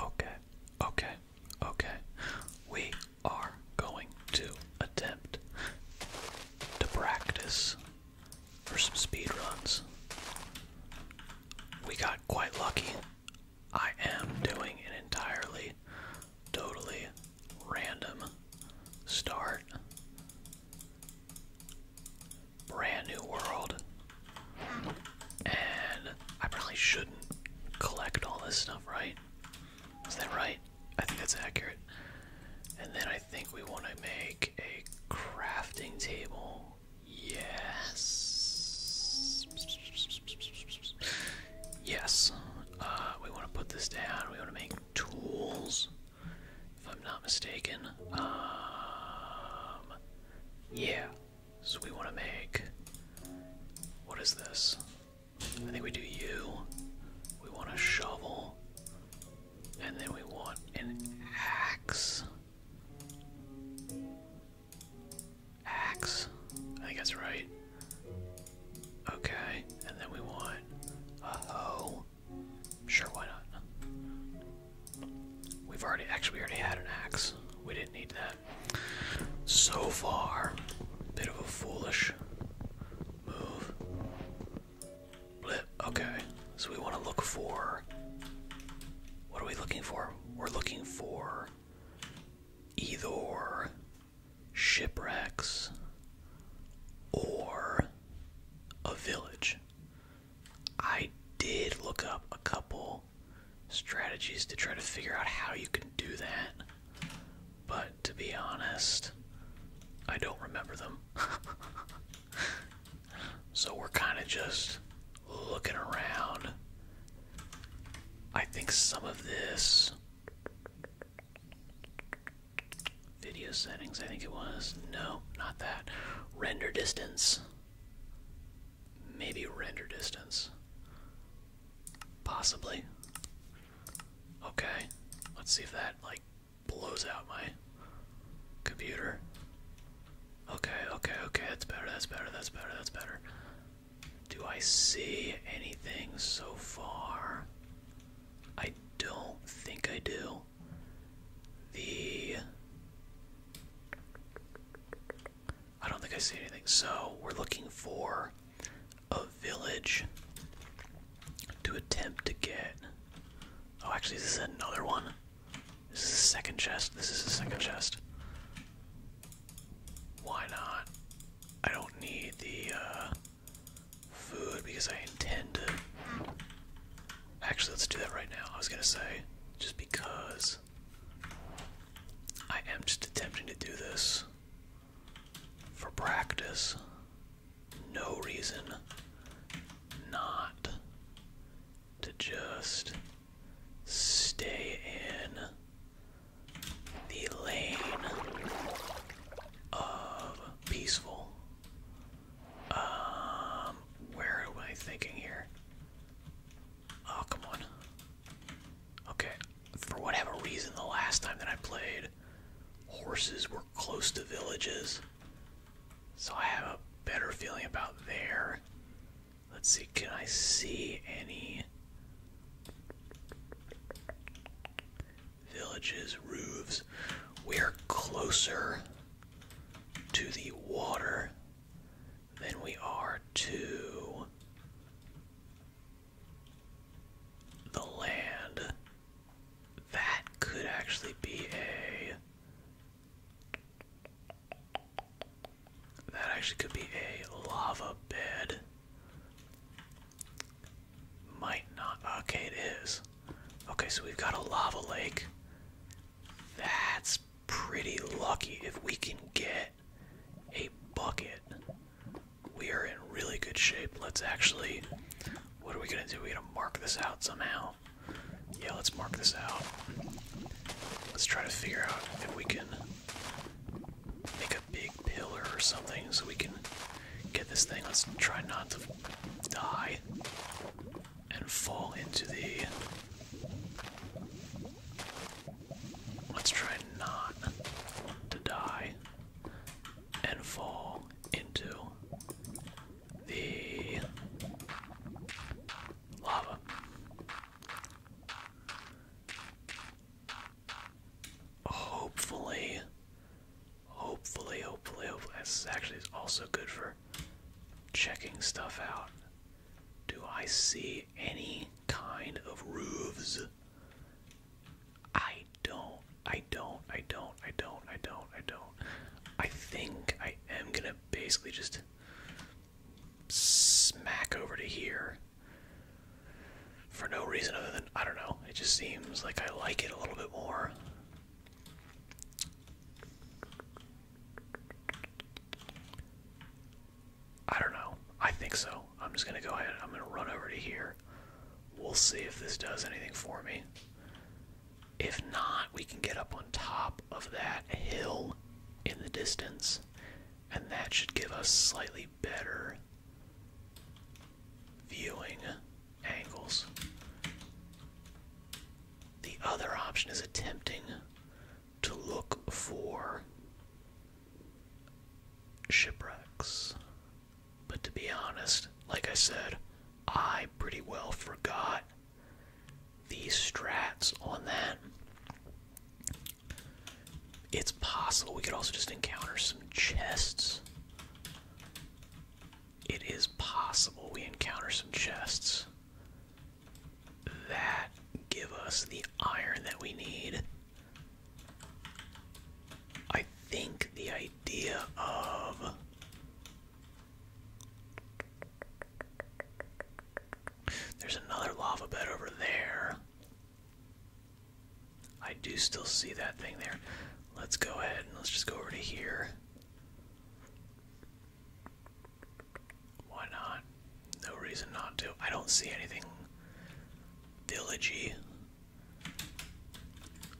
Okay, okay, okay. We are going to attempt to practice for some speed runs. We got quite lucky. I am doing an entirely, totally random start. Brand new world. And I probably shouldn't collect all this stuff, right? Is that right? I think that's accurate. And then I think we want to make a crafting table. Yes. Yes. Uh, we want to put this down. We want to make tools, if I'm not mistaken. Um, yeah. So we want to make. What is this? I think we do you. We want a shovel. And then we want an axe. Axe. I think that's right. Okay. And then we want a hoe. Sure, why not? We've already. Actually, we already had an axe. We didn't need that. So far, bit of a foolish move. Blip. Okay, so we want to look for. What are we looking for? We're looking for either shipwrecks or a village. I did look up a couple strategies to try to figure out how you can do that. But to be honest, I don't remember them. so we're kind of just looking around. I think some of this video settings, I think it was. No, not that. Render distance. Maybe render distance. Possibly. Okay. Let's see if that, like, blows out my computer. Okay, okay, okay. That's better, that's better, that's better, that's better. Do I see anything so far? I don't think I do. The. I don't think I see anything. So we're looking for a village to attempt to get. Oh, actually, this is another one. This is the second chest. This is the second chest. Why not? I don't need the uh, food because I intend to. Actually, let's do that right now. I was gonna say, just because. I am just attempting to do this for practice. No reason not to just stay in the lane of peaceful. Um, where am I thinking here? Oh, come on. Okay, for whatever reason, the last time that I played, horses were close to villages. So I have a better feeling about there. Let's see, can I see any villages, roofs? We're closer to the water than we are to the land. That could actually be a. That actually could be a lava bed. Might not. Okay, it is. Okay, so we've got a lava lake. That's pretty lucky if we can get get a bucket. We are in really good shape. Let's actually. What are we gonna do? We're gonna mark this out somehow. Yeah, let's mark this out. Let's try to figure out if we can make a big pillar or something so we can get this thing. Let's try not to die and fall into the Let's try not to die and fall into the lava. Hopefully, hopefully, hopefully, hopefully. This actually is also good for checking stuff out. Do I see any kind of roofs. I don't, I don't, I don't, I don't, I don't, I don't. I think I am gonna basically just smack over to here for no reason other than I don't know. It just seems like I like it a little bit more. I don't know. I think so. I'm just going to go ahead. I'm going to run over to here. We'll see if this does anything for me. If not, we can get up on top of that hill in the distance, and that should give us slightly better viewing angles. The other option is attempting to look for shipwrecks. But to be honest, like I said, I pretty well forgot these strats on that. It's possible we could also just encounter some chests. It is possible we encounter some chests that give us the iron that we need. I think the idea of there's another lava over there. I do still see that thing there. Let's go ahead and let's just go over to here. Why not? No reason not to. I don't see anything villagey.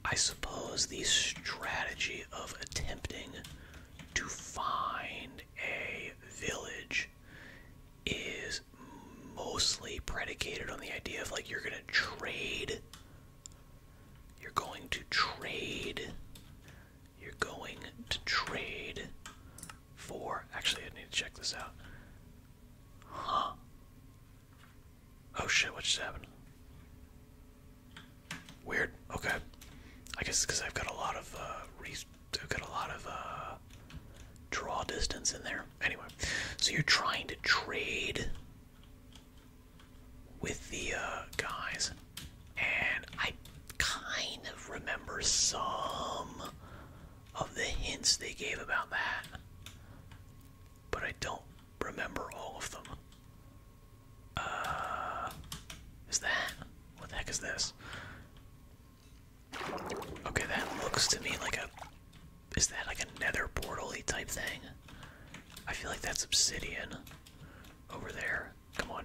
I suppose the strategy of attempting to find a village is mostly predicated on the idea of like you're gonna trade. You're going to trade. You're going to trade Four. Actually, I need to check this out. Huh. Oh shit, what just happened? Weird. Okay. I guess because I've got a lot of, uh, I've got a lot of, uh, draw distance in there. Anyway, so you're trying to trade with the, uh, guys. And I kind of remember some of the hints they gave about that, but I don't remember all of them. Uh, is that? What the heck is this? Okay, that looks to me like a. Is that like a nether portal type thing? I feel like that's obsidian over there. Come on.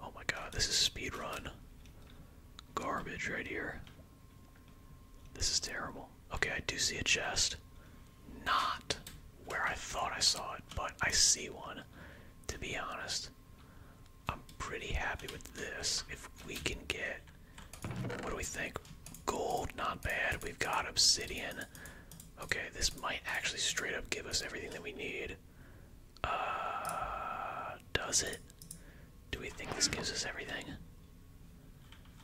Oh my god, this is speed run. Garbage right here. This is terrible. Okay, I do see a chest. Not where I thought I saw it, but I see one. To be honest, I'm pretty happy with this. If we can get, what do we think? Gold, not bad. We've got obsidian. Okay, this might actually straight up give us everything that we need. Uh, does it? Do we think this gives us everything?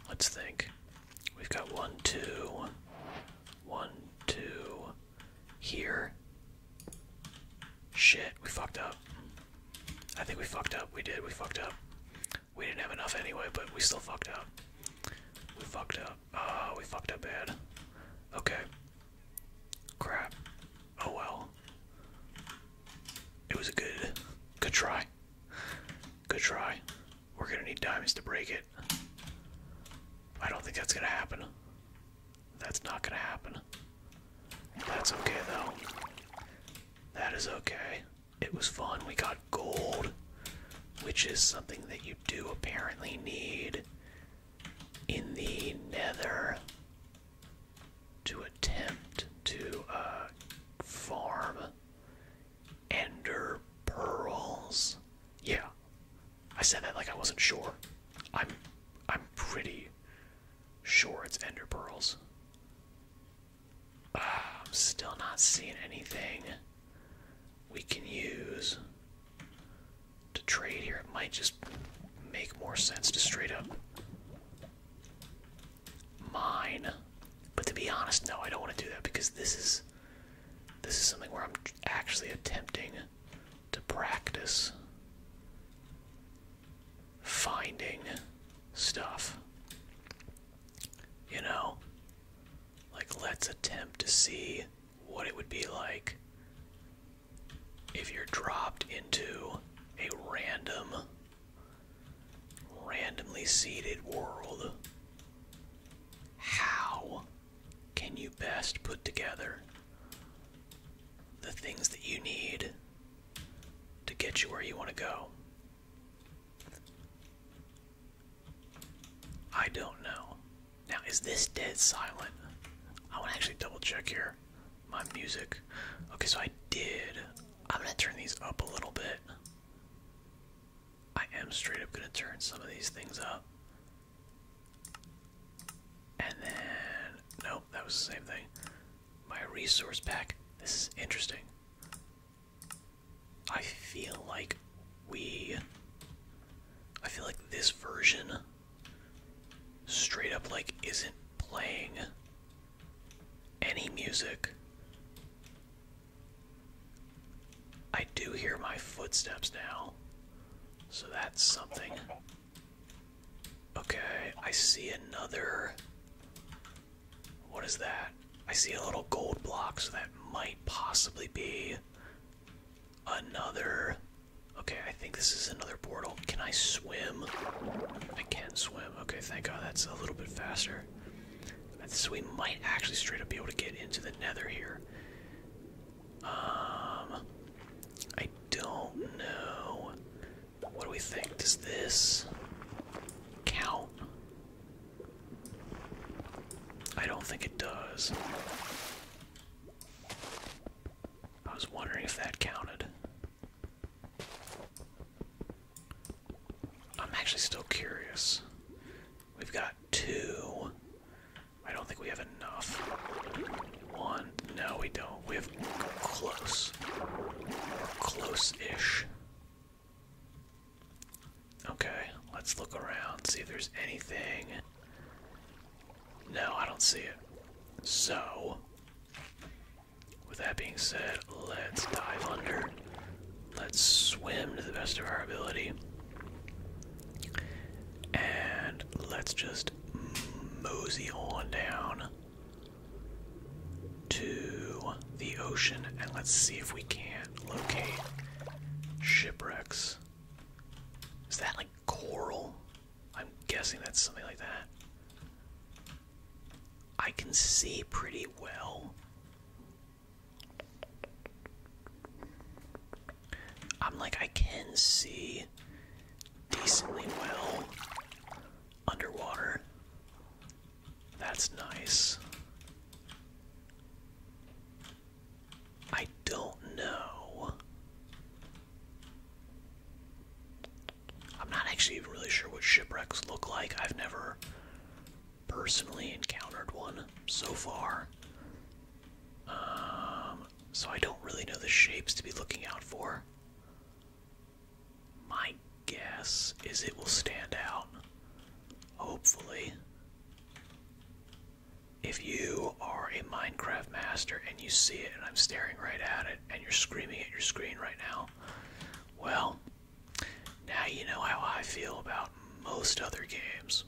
Let's think. We've got one, two, one, two, here. Shit, we fucked up. I think we fucked up. We did. We fucked up. We didn't have enough anyway, but we still fucked up. We fucked up. Oh, we fucked up bad. Okay. Crap. Oh well. It was a good, good try. Good try. We're gonna need diamonds to break it. I don't think that's gonna happen. That's not gonna happen. That's okay though. That is okay. It was fun. We got gold, which is something that you do apparently need in the nether to attempt to uh, farm ender pearls. Yeah, I said that like I wasn't sure. I'm, I'm pretty sure it's ender pearls. Ah, I'm still not seeing anything we can use to trade here. It might just make more sense to straight up mine. But to be honest, no, I don't want to do that because this is this is something where I'm actually attempting to practice finding stuff. You know, like let's attempt to see what it would be like if you're dropped into a random randomly seeded world how can you best put together the things that you need to get you where you want to go i don't know now, is this dead silent? I want to actually double check here. My music. Okay, so I did. I'm going to turn these up a little bit. I am straight up going to turn some of these things up. And then, nope, that was the same thing. My resource pack. This is interesting. I feel like we. I feel like this version straight up like isn't playing any music. I do hear my footsteps now, so that's something. Okay, I see another. What is that? I see a little gold block, so that might possibly be another. Okay, I think this is another portal. Can I swim? I can not swim. Okay, thank God that's a little bit faster. So we might actually straight up be able to get into the nether here. Um, I don't know. What do we think? Does this count? I don't think it does. I was wondering if that counted. I'm actually still curious. We've got two. I don't think we have enough. One. No, we don't. We have close. close ish. Okay, let's look around, see if there's anything no, I don't see it. So, with that being said, let's dive under. Let's swim to the best of our ability. And let's just mosey on down to the ocean and let's see if we can't locate shipwrecks. Is that like coral? I'm guessing that's something like that. I can see pretty well. I'm like, I can see decently well underwater. That's nice. I don't know I'm not actually even really sure what shipwrecks look like. I've never personally encountered one so far. Um, so I don't really know the shapes to be looking out for. My guess is it will stand out. Hopefully if you are a Minecraft master and you see it and I'm staring right at it and you're screaming at your screen right now, well, now you know how I feel about most other games.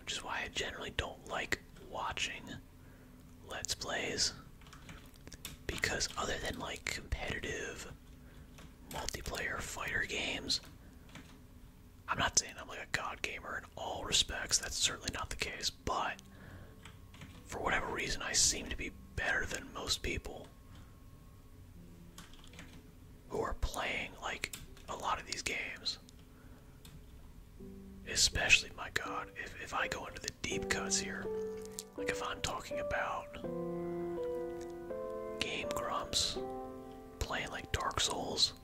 Which is why I generally don't like watching Let's Plays. Because other than like competitive multiplayer fighter games, I'm not saying I'm like a god gamer in all respects, that's certainly not the case, but for whatever reason, I seem to be better than most people who are playing like a lot of these games. Especially, my god, if, I go into the deep cuts here, like if I'm talking about Game Grumps playing like Dark Souls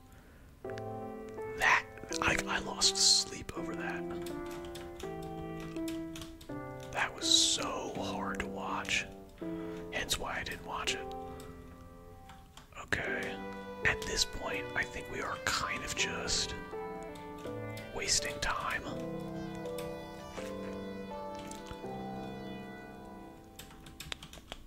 that I, I lost sleep over that. That was so hard to watch. Hence why I didn't watch it. Okay. At this point, I think we are kind of just wasting time.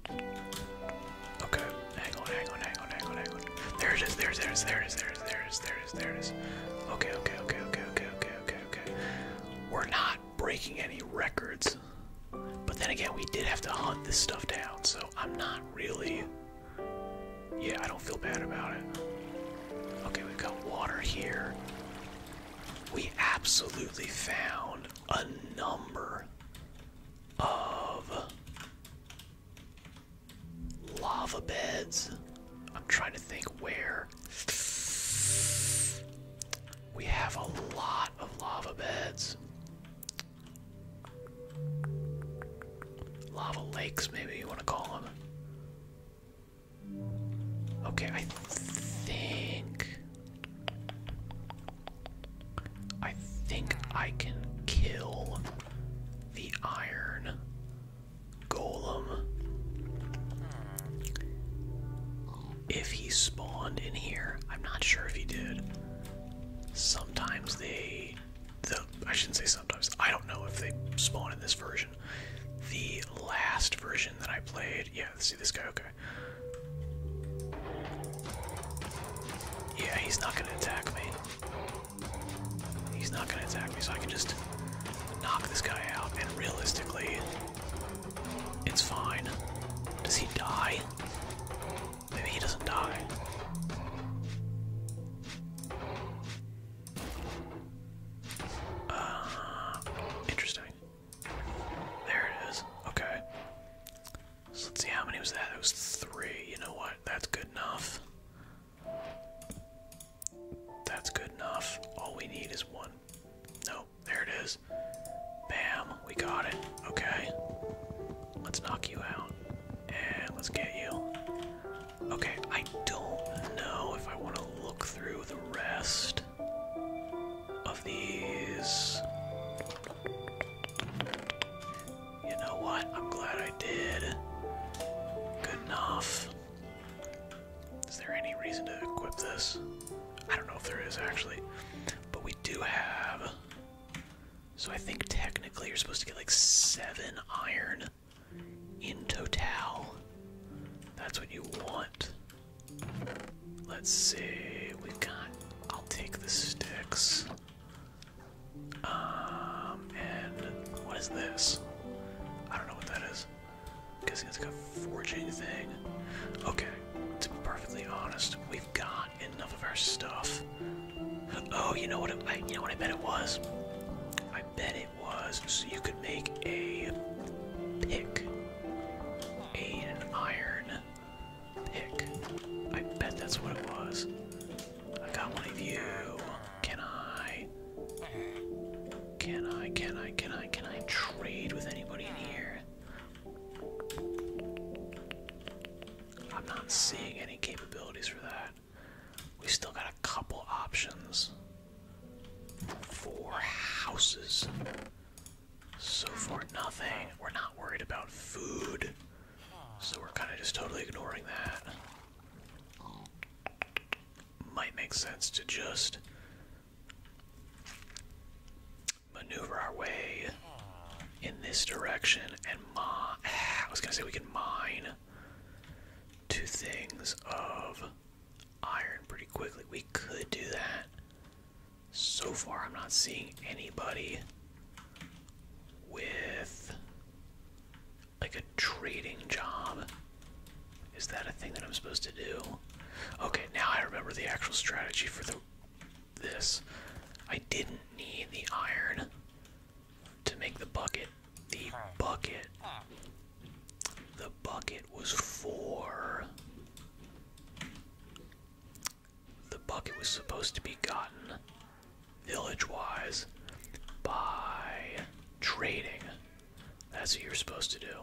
Okay, hang on, hang on, hang on, hang on, hang on. There it is, there it is, there it is, there it is, there it is, there it is, Okay, okay, okay, okay, okay, okay, okay, okay. We're not breaking any records. But then again, we did have to hunt this stuff down, so I'm not really. Yeah, I don't feel bad about it. Okay, we've got water here. We absolutely found a number of lava beds. I'm trying to think where. We have a lot of lava beds. Lava lakes, maybe you want to call them. Okay, I think I think I can kill the iron golem if he spawned in here. I'm not sure if he did. Sometimes they the I shouldn't say sometimes. I don't know if they spawn in this version. The last version that I played, yeah, see this guy, okay. Yeah, he's not gonna attack me. He's not gonna attack me, so I can just knock this guy out, and realistically, it's fine. Does he die? Maybe he doesn't die. Uh, interesting. There it is. Okay. So let's see how many was that. It was three. You know what? That's good enough. That's good enough. All we need is one. No, there it is. Bam, we got it. Okay. Let's knock you out. And let's get you. Okay, I don't know if I want to look through the rest of these. You know what? I'm glad I did. Good enough. Is there any reason to equip this? I don't know if there is actually. But we do have. So I think technically you're supposed to get like seven iron in total. That's what you want. Let's see. We got. I'll take the sticks. Um, and what is this? I don't know what that is. I'm guessing it's a forging thing. Okay, to be perfectly honest, we've got enough of our stuff. Oh, you know what? I, you know what I bet it was. I bet it was so you could make a pick, an iron, Heck, I bet that's what it was. I got one of you. Can I? Can I? Can I? Can I? Can I trade with anybody in here? I'm not seeing any capabilities for that. We still got a couple options. Four houses. So far, nothing. We're not worried about food. So we're kind of just totally ignoring that. Might make sense to just maneuver our way in this direction and mine. Ah, I was gonna say we can mine two things of iron pretty quickly. We could do that. So far, I'm not seeing anybody with like a trading job. Is that a thing that I'm supposed to do? Okay, now I remember the actual strategy for the this. I didn't need the iron to make the bucket. The bucket. The bucket was for the bucket was supposed to be gotten village wise by trading. That's what you're supposed to do.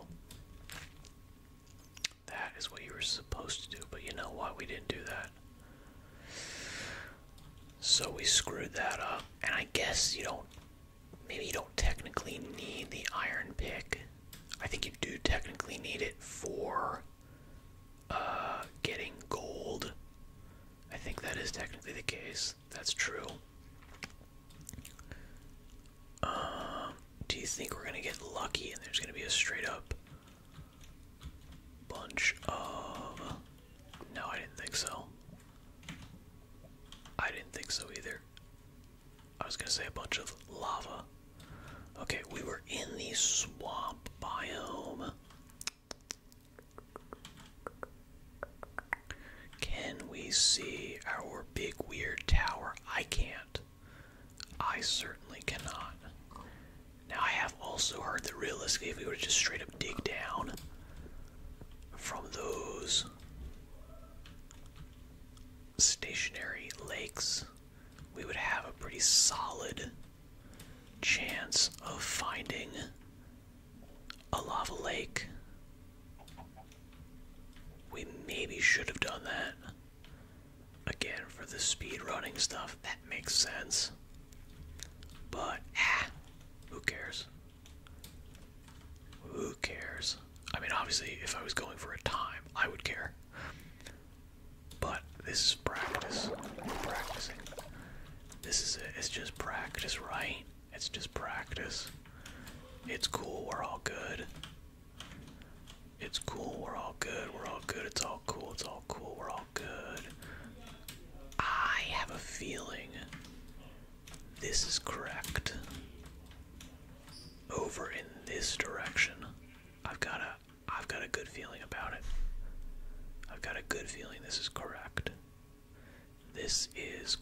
That is what you were supposed to do, but you know what? We didn't do that. So we screwed that up. And I guess you don't. Maybe you don't technically need the iron pick. I think you do technically need it for uh, getting gold. I think that is technically the case. That's true. Um, do you think we're gonna get lucky and there's gonna be a straight up bunch of? No, I didn't think so. I didn't think so either. I was gonna say a bunch of lava. Okay, we were in the swamp biome. Can we see our big weird tower? I can't. I certainly cannot. Now, I have also heard that realistically, if we would just straight up dig down from those stationary lakes, we would have a pretty solid chance of finding a lava lake. We maybe should have done that. Again, for the speed running stuff, that makes sense. But, ah, who cares? Who cares? I mean, obviously, if I was going for a time, I would care. But this is practice. we practicing. This is it. It's just practice, right? It's just practice. It's cool. We're all good. It's cool. We're all good. We're all good. It's all cool. It's all cool. We're all good. I have a feeling this is correct. Over in this direction. I've got a I've got a good feeling about it. I've got a good feeling this is correct. This is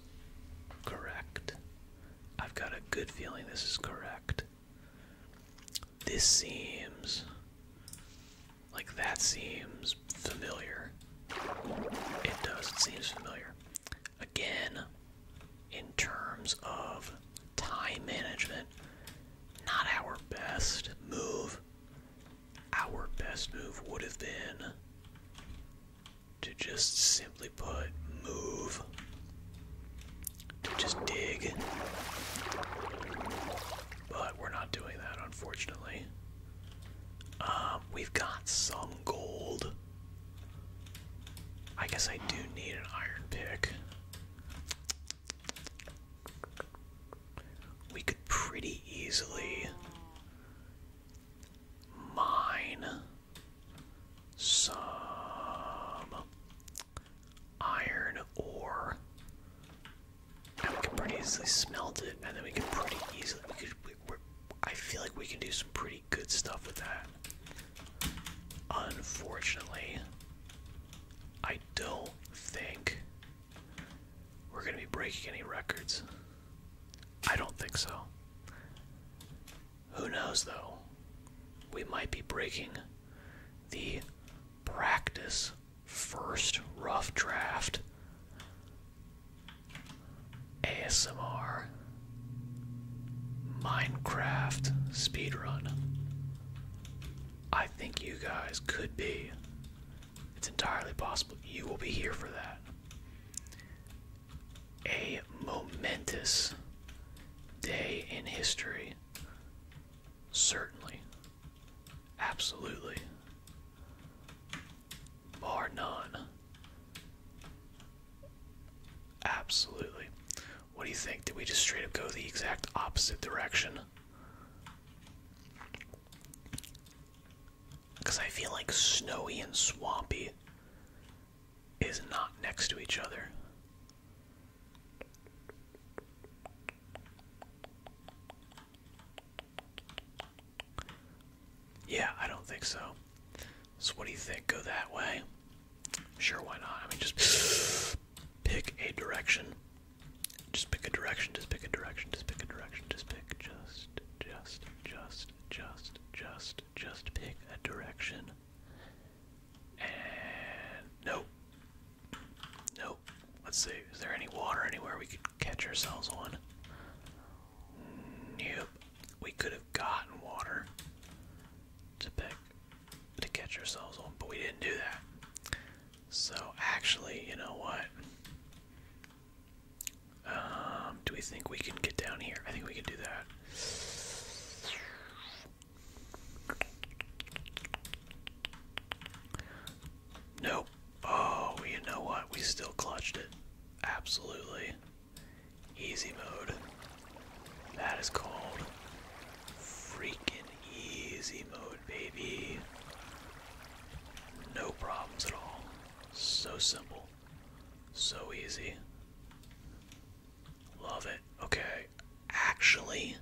correct. I've got a good feeling this is correct. This seems like that seems familiar. It does, it seems familiar. Again, in terms of time management, not our best move. Our best move would have been to just simply put move, to just dig. But we're not doing that, unfortunately. Uh, we've got some gold. I guess I do need an iron pick. We could pretty easily mine some iron ore. we can pretty easily smelt it, and then we can pretty easily. I feel like we can do some pretty good stuff with that. Unfortunately, I don't think we're going to be breaking any records. I don't think so. Who knows, though? We might be breaking the practice first rough draft ASMR Minecraft speedrun. I think you guys could be. It's entirely possible you will be here for that. A momentous day in history. Certainly. Absolutely. Bar none. Absolutely. What do you think? Did we just straight up go the exact opposite direction? Because I feel like snowy and swampy is not next to each other. Yeah, I don't think so. So, what do you think? Go that way? Sure, why not? I mean, just pick a direction. Just pick a direction, just pick a direction, just pick a direction, just pick, just, just, just, just, just, just pick a direction. And nope. Nope. Let's see, is there any water anywhere we could catch ourselves on? Nope. We could have gotten water to pick to catch ourselves on, but we didn't do that. So actually, you know what? Um, do we think we can get down here? I think we can do that. Nope. Oh, you know what? We still clutched it. Absolutely. Easy mode. That is cold. Freaking easy mode, baby. No problems at all. So simple. So easy. Love it. Okay. Actually,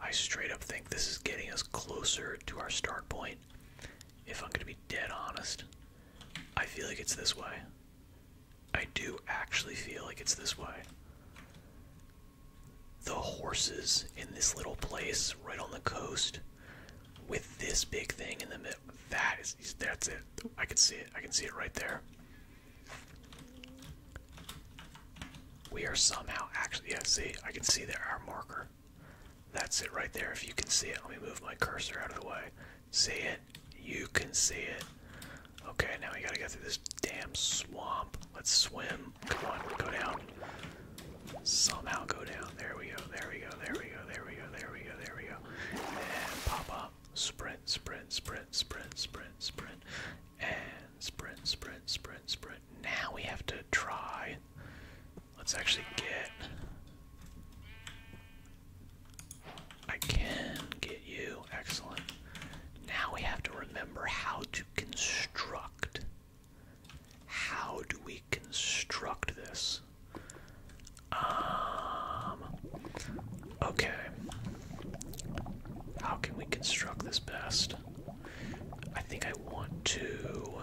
I straight up think this is getting us closer to our start point. If I'm going to be dead honest, I feel like it's this way. I do actually feel like it's this way the horses in this little place right on the coast with this big thing in the middle. That is, that's it. I can see it. I can see it right there. We are somehow actually, yeah, see, I can see there, our marker. That's it right there. If you can see it, let me move my cursor out of the way. See it? You can see it. Okay, now we gotta get through this damn swamp. Let's swim. Come on, go down. Somehow go down. There we go, there we go, there we go, there we go, there we go, there we go. And pop up. Sprint, sprint, sprint, sprint, sprint, sprint. And sprint, sprint, sprint, sprint. Now we have to try. Let's actually get. I can get you. Excellent. Now we have to remember how to construct. How do we construct this? Um, okay. How can we construct this best? I think I want to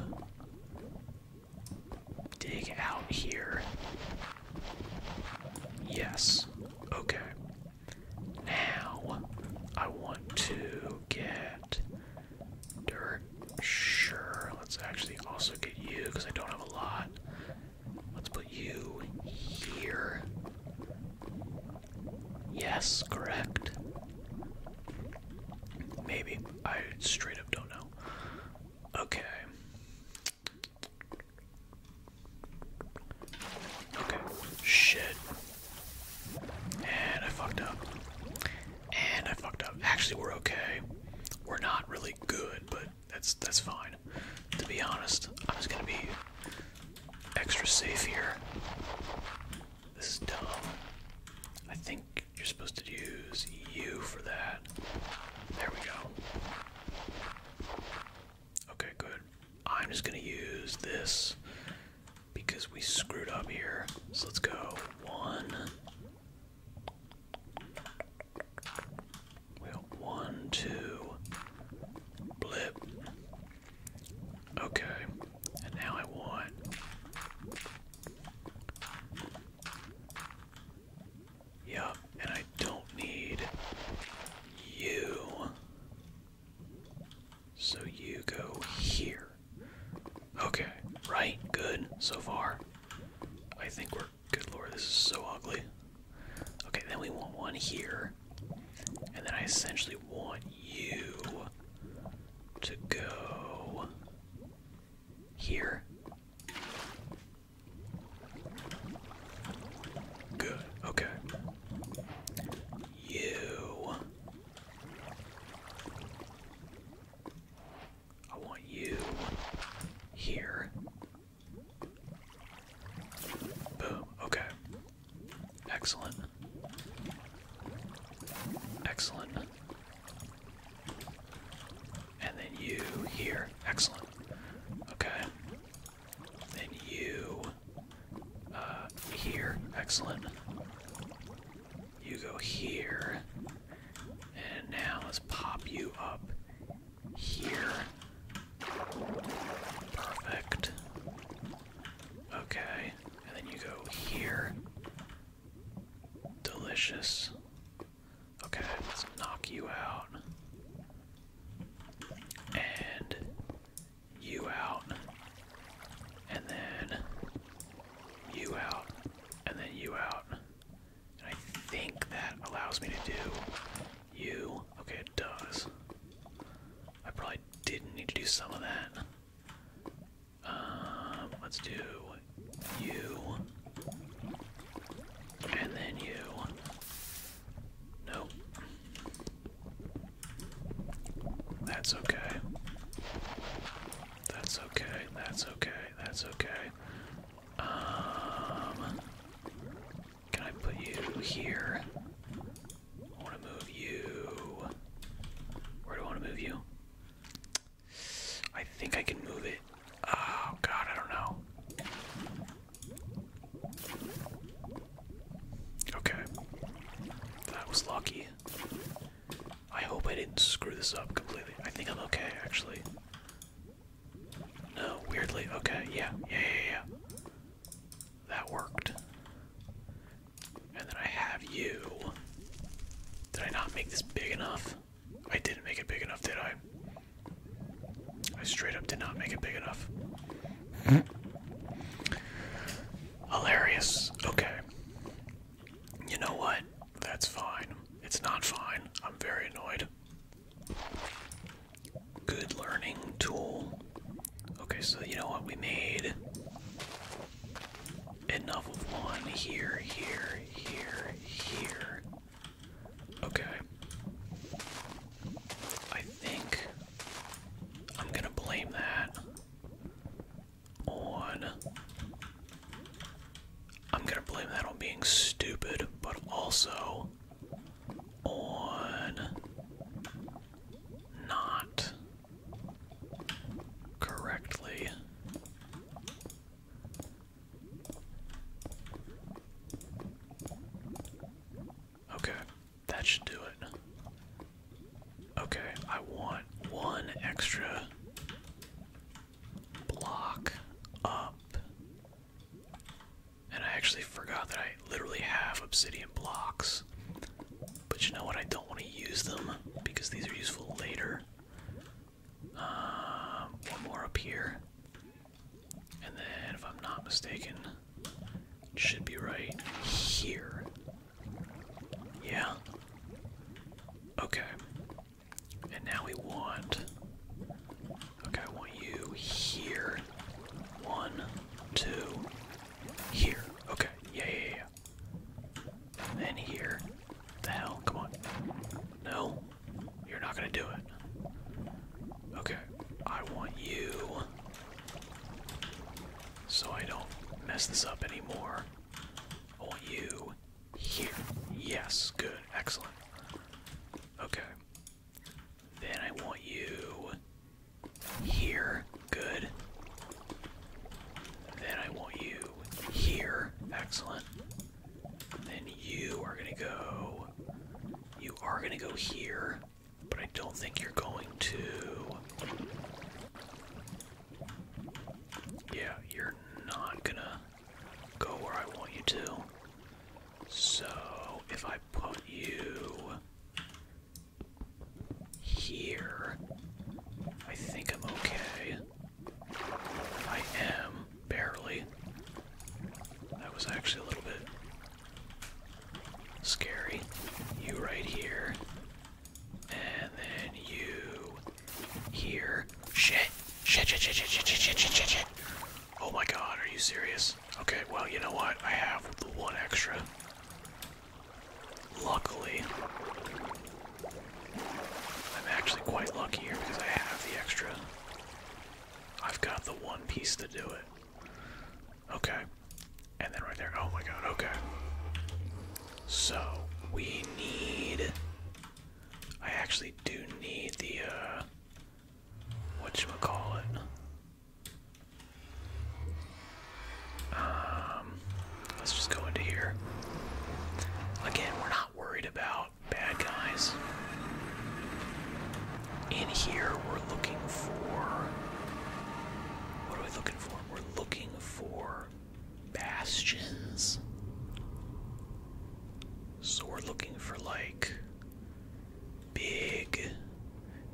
dig out here. Yes. Okay. Now I want to get dirt. Sure, let's actually also get you because I don't have a lot. Let's put you here. Yes, correct. Maybe. I straight up don't know. Okay. Okay. Shit. And I fucked up. And I fucked up. Actually, we're okay. We're not really good, but that's that's fine. To be honest, I'm just gonna be extra safe here. This is dumb. I think you're supposed to use U for that. There we go. Okay, good. I'm just gonna use this because we screwed up here. So let's go one. Well, one, two, blip. Okay, and now I want. Yup, and I don't need you. So you go here. Okay, right, good so far. I think we're good lord, this is so ugly. Okay, then we want one here. And then I essentially want you to go here. Good, okay. You I want you here. Boom. Okay. Excellent. Excellent. And then you here. Excellent. Okay. Then you uh, here. Excellent. You go here. And now let's pop you up here. Perfect. Okay. And then you go here. Delicious. Okay, let's knock you out. And you out, and then you out, and then you out. And I think that allows me to do you. Okay, it does. I probably didn't need to do some of that. Um, let's do you, and then you. Nope. That's okay. That's okay. That's okay. That's okay. Um, can I put you here? I want to move you. Where do I want to move you? I think I can move it. Oh god, I don't know. Okay. That was lucky. I hope I didn't screw this up completely. I think I'm okay, actually. No, weirdly. Okay, yeah, yeah, yeah, yeah. That worked. And then I have you. Did I not make this big enough? I didn't make it big enough, did I? I straight up did not make it big enough. Hilarious. Okay. You know what? That's fine. It's not fine. I'm very annoyed. Good learning tool. Okay, so you know what? We made enough of one here, here, here, here. Okay. I think I'm gonna blame that on. I'm gonna blame that on being stupid, but also on not correctly. Okay, that should do it. Okay, I want one extra block up. And I actually forgot that I literally have obsidian blocks. But you know what? I don't want to use them because these are useful later. Um, one more up here. And then, if I'm not mistaken, should be right here. Yeah. Okay. And now we want. Okay, I want you here. One, two, here. Okay, yeah, yeah, yeah. And here. What the hell? Come on. No, you're not gonna do it. Okay, I want you so I don't mess this up anymore. I oh, want you here. Yes, good, excellent. Okay. Then I want you here. Good. Then I want you here. Excellent. Then you are gonna go. You are gonna go here. But I don't think you're going to. Yeah, you're not gonna go where I want you to. So if I put you here, I think I'm okay. I am, barely. That was actually a little bit scary. You right here. And then you here. Shit, shit, shit, shit, shit, shit, shit, shit, shit. Oh my god, are you serious? Okay, well, you know what? I have the one extra. Luckily, I'm actually quite lucky here because I have the extra. I've got the one piece to do it. Okay. And then right there. Oh my god, okay. So, we need. I actually do need the, uh. Whatchamacallit. Um. Let's just go into here. Again, we're not worried about bad guys. In here, we're looking for. What are we looking for? We're looking for bastions. So we're looking for like big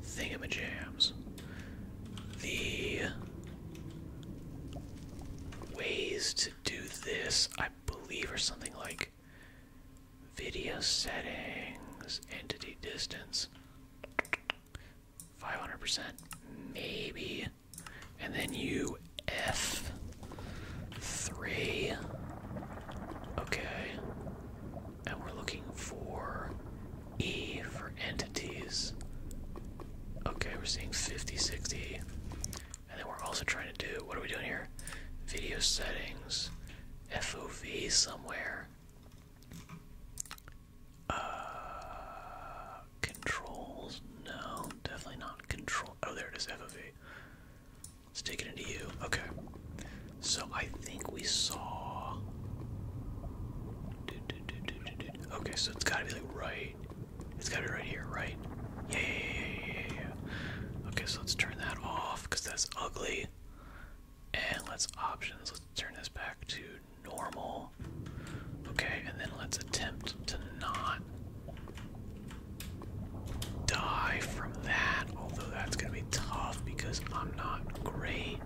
thingamajams. The ways to do this, I believe, are something like video settings, entity distance. 500%, maybe. And then you F3. Okay. And we're looking for E for entities. Okay, we're seeing 50, 60. And then we're also trying to do, what are we doing here? Video settings, FOV somewhere. Uh, controls? No, definitely not control. Oh, there it is, FOV. Let's take it into you. Okay. So I think we saw. Okay, so it's gotta be like right. It's gotta be right here, right? Yeah, Okay, so let's turn that off because that's ugly. And let's options. Let's turn this back to normal. Okay, and then let's attempt to not die from that, although that's gonna be tough because I'm not great.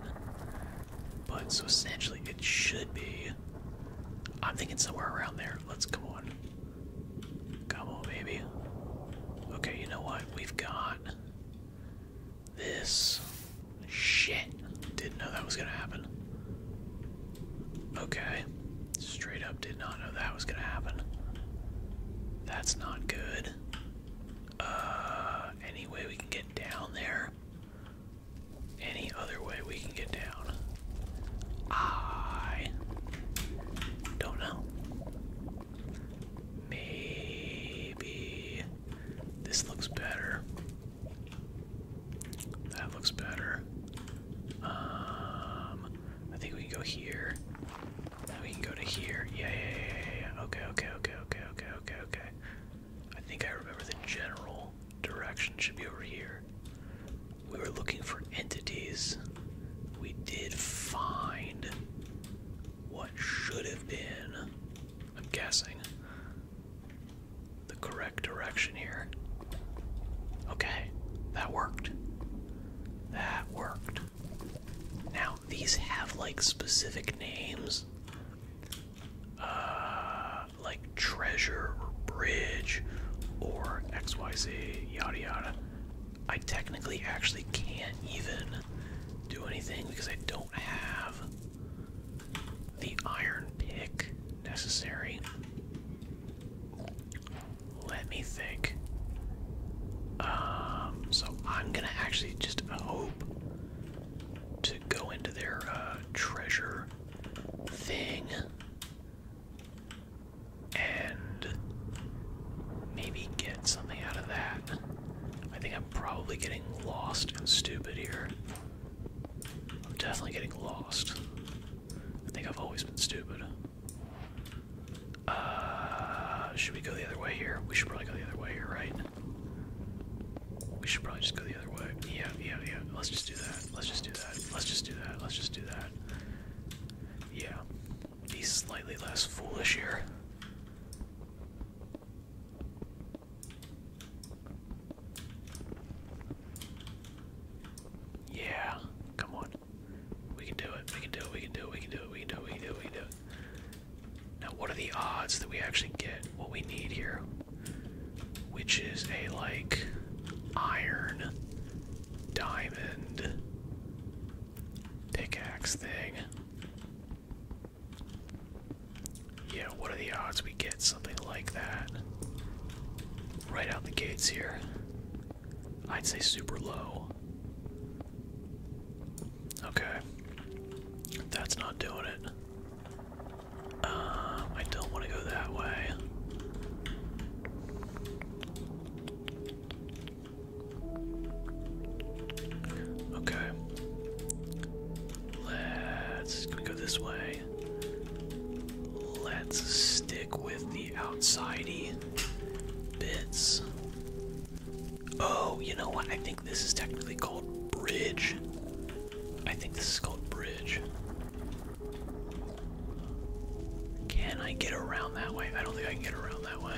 But so essentially it should be. I'm thinking somewhere around there. Let's come on. Come on, baby. Okay, you know what? We've got this. Shit. Didn't know that was gonna happen. Okay. Straight up did not know that was gonna happen. That's not good. Uh, any way we can get down there? Any other way we can get down? I don't know. Maybe this looks better. That looks better. Um, I think we can go here. Now we can go to here. Yeah, yeah, yeah, yeah, yeah. Okay, okay, okay, okay, okay, okay, okay. I think I remember the general direction should be over here. We were looking for entities. We did find what should have been, I'm guessing, the correct direction here. Okay, that worked. That worked. Now, these have like specific names. Uh, like treasure or bridge or XYZ, yada yada. I technically actually can't even do anything because I don't have the iron pick necessary. Let me think. Um, so I'm gonna actually just hope to go into their uh, treasure thing and maybe get something out of that. I think I'm probably getting lost and stupid here. I'm definitely getting lost. I think I've always been stupid. Uh, should we go the other way here? We should probably go the other way here, right? We should probably just go the other way. Yeah, yeah, yeah. Let's just do that. Let's just do that. Let's just do that. Let's just do that. Yeah. Be slightly less foolish here. Yeah, come on. We can do it, we can do it, we can do it, we can do it, we can do we do we do Now what are the odds that we actually get what we need here? Which is a like iron diamond pickaxe thing. Yeah, what are the odds we get something like that? Right out the gates here. I'd say super low. Okay. That's not doing it. Um, I don't want to go that way. Okay. Let's go this way. Let's stick with the outsidey bits. Oh, you know what? I think this is technically called bridge. I think this is called bridge. Can I get around that way? I don't think I can get around that way.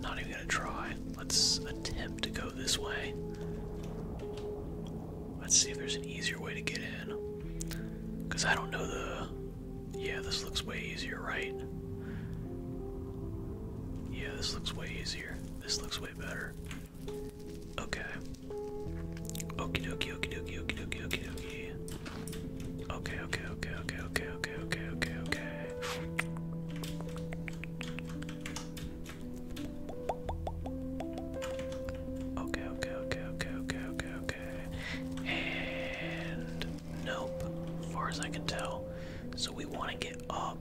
Not even gonna try. Let's attempt to go go this way. Let's see if there's an easier way to get in. Because I don't know the. Yeah, this looks way easier, right? Yeah, this looks way easier. This looks way better. Okay. Okie dokie, okie dokie, okie dokie, okie dokie. Okay, okay, okay, okay, okay, okay, okay, okay, okay. Okay, okay, okay, okay, okay, okay, And nope, far as I can tell. So we want to get up.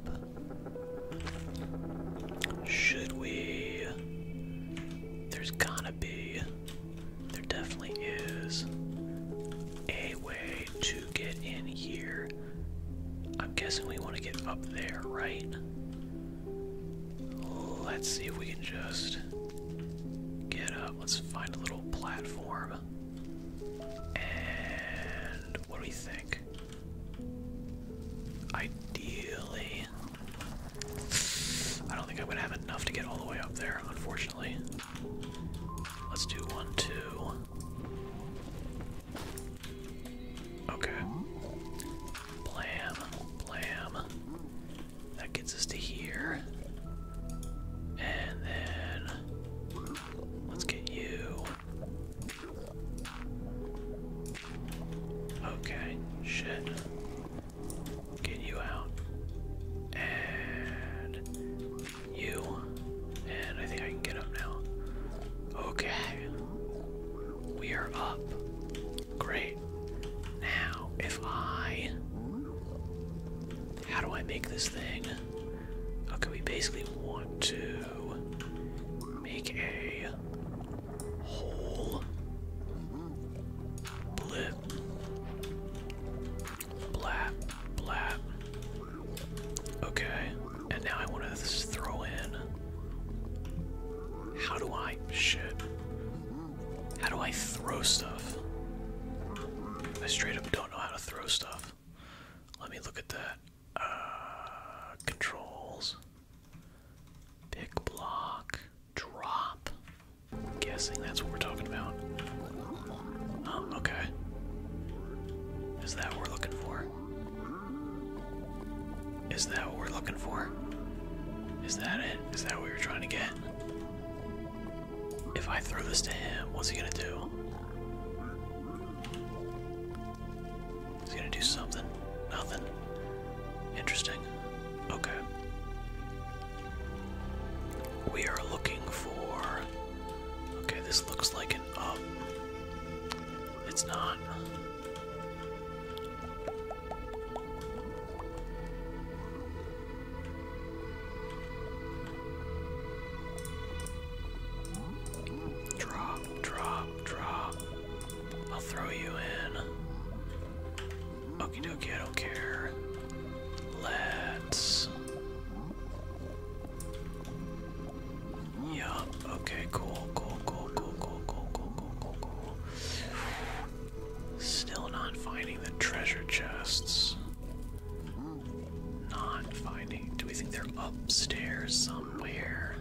Should we? There's going to be. There definitely is a way to get in here. I'm guessing we want to get up there, right? Let's see if we can just get up. Let's find a little platform. And what do we think? Ideally, I don't think I'm gonna have enough to get all the way up there, unfortunately. Let's do one, two. Okay. Blam, blam. That gets us to here. And then let's get you. Okay, shit. Get you out. And you. And I think I can get up now. Okay. We are up. Great. Now, if I. How do I make this thing? Okay, we basically want to make a hole. Blip. Blap. Blap. Okay. And now I want to throw in. How do I. Shit. How do I throw stuff? I straight up don't know how to throw stuff. Let me look at that. Uh, controls. Pick block. Drop. guessing that's what we're talking about. okay. Is that what we're looking for? Is that what we're looking for? Is that it? Is that what we are trying to get? If I throw this to him, what's he gonna do? He's gonna do something. Nothing. Interesting. Okay. We are looking for. Okay, this looks like an Oh, It's not. Drop, drop, drop. I'll throw you in. Okie dokie, don't care. Let's yeah, okay, cool, cool, cool, cool, cool, cool, cool, cool, cool, Still not finding the treasure chests. Not finding. Do we think they're upstairs somewhere?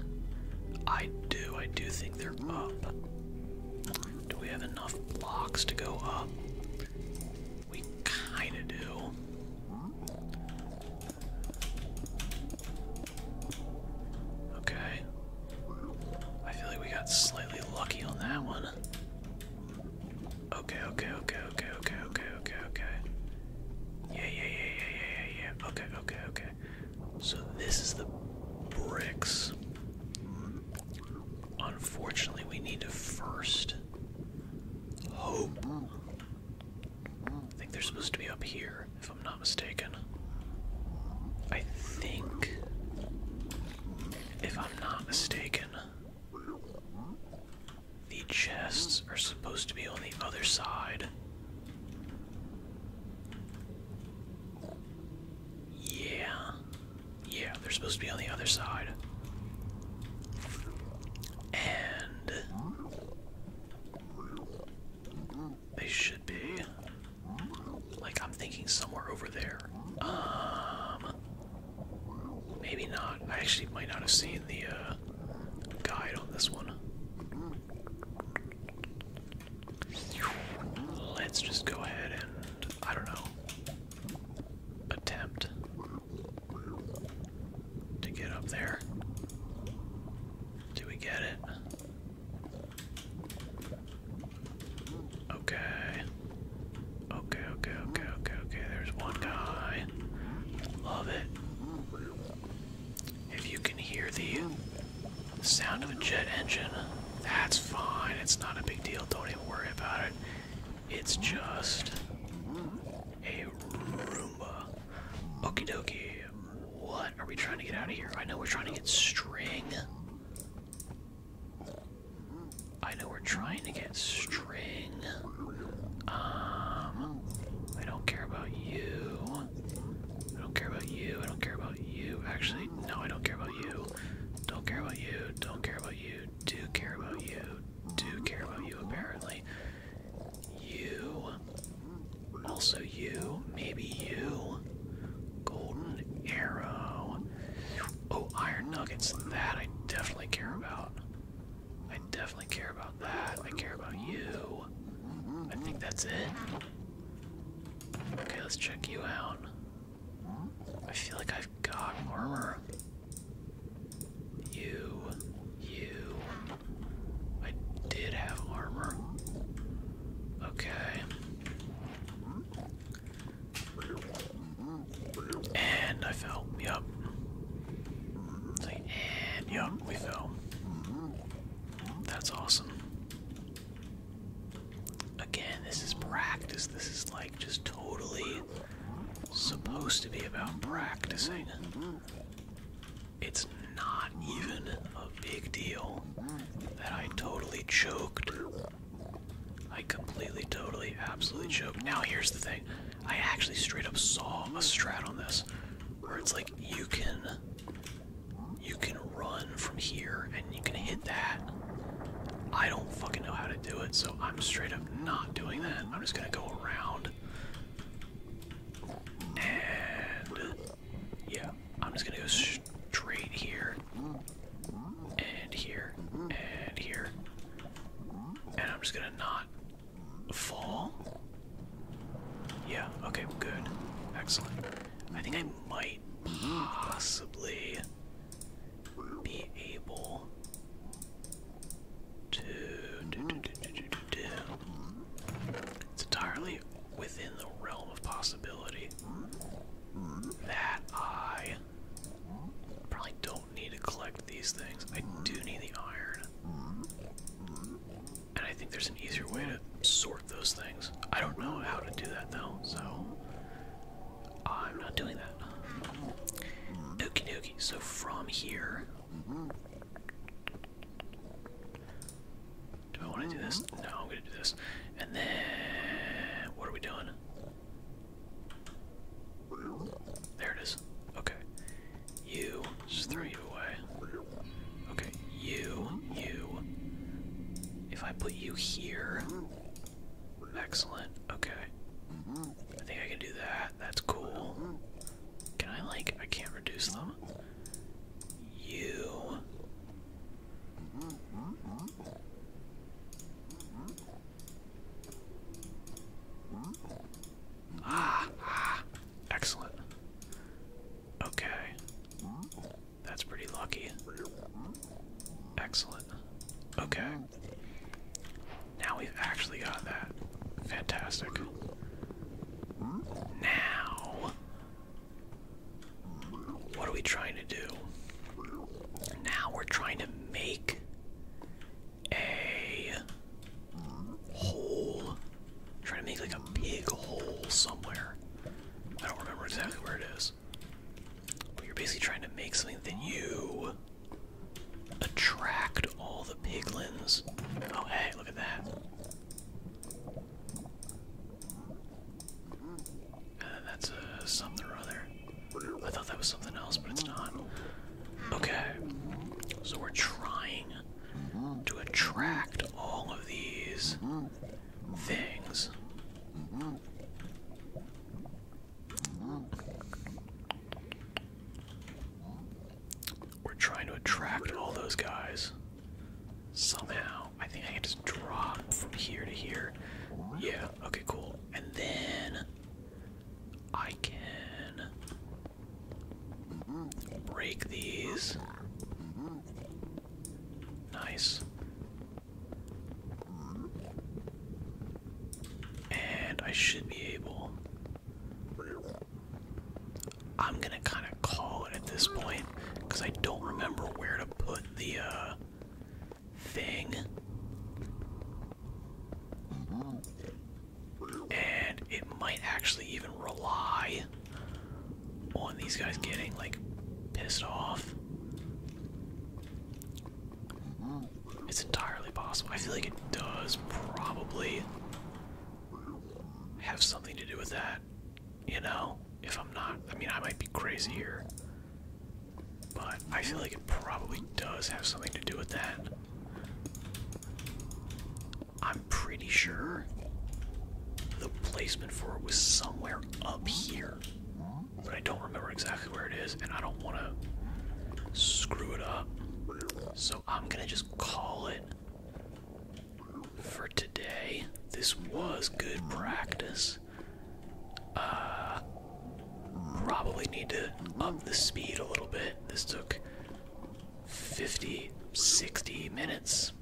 I do, I do think they're up. Do we have enough blocks to go up? We kinda do. Okay. I feel like we got slightly lucky on that one. Okay, okay, okay, okay, okay, okay, okay, okay. Yeah, yeah, yeah, yeah, yeah, yeah, Okay, okay, okay. So this is the bricks. Unfortunately, we need to first I think they're supposed to be up here, if I'm not mistaken. I think, if I'm not mistaken, the chests are supposed to be on the other side. Yeah. Yeah, they're supposed to be on the other side. And they should be. Like, I'm thinking somewhere over there. Um, maybe not. I actually might not have seen the uh, guide on this one. Let's just go ahead and, I don't know, attempt to get up there. Do we get it? Okay. Okay, okay, okay, okay, There's one guy. Love it. If you can hear the sound of a jet engine, that's fine. It's not a big deal. Don't even worry about it. It's just a Roomba. Okie dokie. What are we trying to get out of here? I know we're trying to get string. I know we're trying to get string. Um, I don't care about you. I don't care about you. I don't care about you. Actually, no, I don't care about you. Don't care about you. Don't care about you. Do care about you. Do care about you, apparently. You. Also, you. Maybe you. Golden arrow. Oh, iron nuggets. That I definitely care about. I definitely care about that. I care about you. I think that's it. Okay, let's check you out. I feel like I've got armor. You, you, I did have armor. Okay. And I fell. Yup. And yup, we fell. That's awesome. Again, this is practice. This is like just totally supposed to be about practicing it's not even a big deal that I totally choked. I completely, totally, absolutely choked. Now, here's the thing I actually straight up saw a strat on this where it's like you can. You can run from here and you can hit that. I don't fucking know how to do it, so I'm straight up not doing that. I'm just gonna go around and yeah, I'm just gonna go straight here, and here, and here, and I'm just gonna not fall. Yeah, okay, good. Excellent. I think I might possibly be able to. It's entirely within the realm of possibility that I probably don't need to collect these things. I do need the iron. And I think there's an easier way to sort those things. I don't know how to do that though, so I'm not doing that. Okie dokie, so from here, do I want to do this? Mm-hmm. No, I'm going to do this. And then, what are we doing? There it is. Okay. You, just throw you away. Okay, you, you. If I put you here. Excellent. Okay. Mm-hmm. I think I can do that. That's cool. Can I, like, I can't reduce them? you. Ah, ah, excellent. Okay. That's pretty lucky. Excellent. Okay. Now we've actually got that. Fantastic. Now what are we trying to do? Now we're trying to make a hole. trying to make like a big hole somewhere. I don't remember exactly where it is. But you're basically trying to make something that you attract all the piglins. Oh hey, look at that. And uh, that's a uh, something or other. I thought that was something else, but it's not. Mm-hmm. Okay, so we're trying to attract all of these mm-hmm. things. Mm-hmm. We're trying to attract all those guys. Somehow. I think I can just drop from here to here. Yeah, okay, cool. And then I can break these. Nice. And I should be able I'm gonna kind of call it at this point because I don't remember where to put the uh, thing. And it might actually even rely on these guys getting like pissed off. It's entirely possible. I feel like it does probably have something to do with that you know, if I'm not, I mean, I might be crazy here, but I feel like it probably does have something to do with that. I'm pretty sure the placement for it was somewhere up here, but I don't remember exactly where it is, and I don't want to screw it up. So I'm gonna just call it for today. This was good practice. Uh, probably need to up the speed a little bit. This took 50, 60 minutes.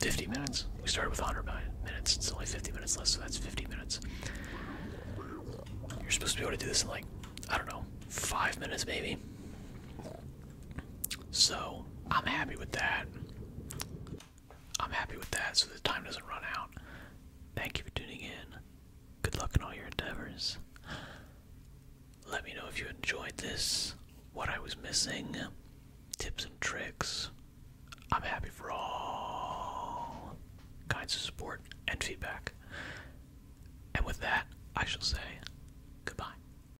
50 minutes. We started with 100 minutes. It's only 50 minutes left, so that's 50 minutes. You're supposed to be able to do this in like, I don't know, five minutes maybe. So I'm happy with that. I'm happy with that so the time doesn't run out. Thank you for tuning in. Good luck in all your endeavors. Let me know if you enjoyed this, what I was missing, tips and tricks. I'm happy for all kinds of support and feedback. And with that, I shall say goodbye.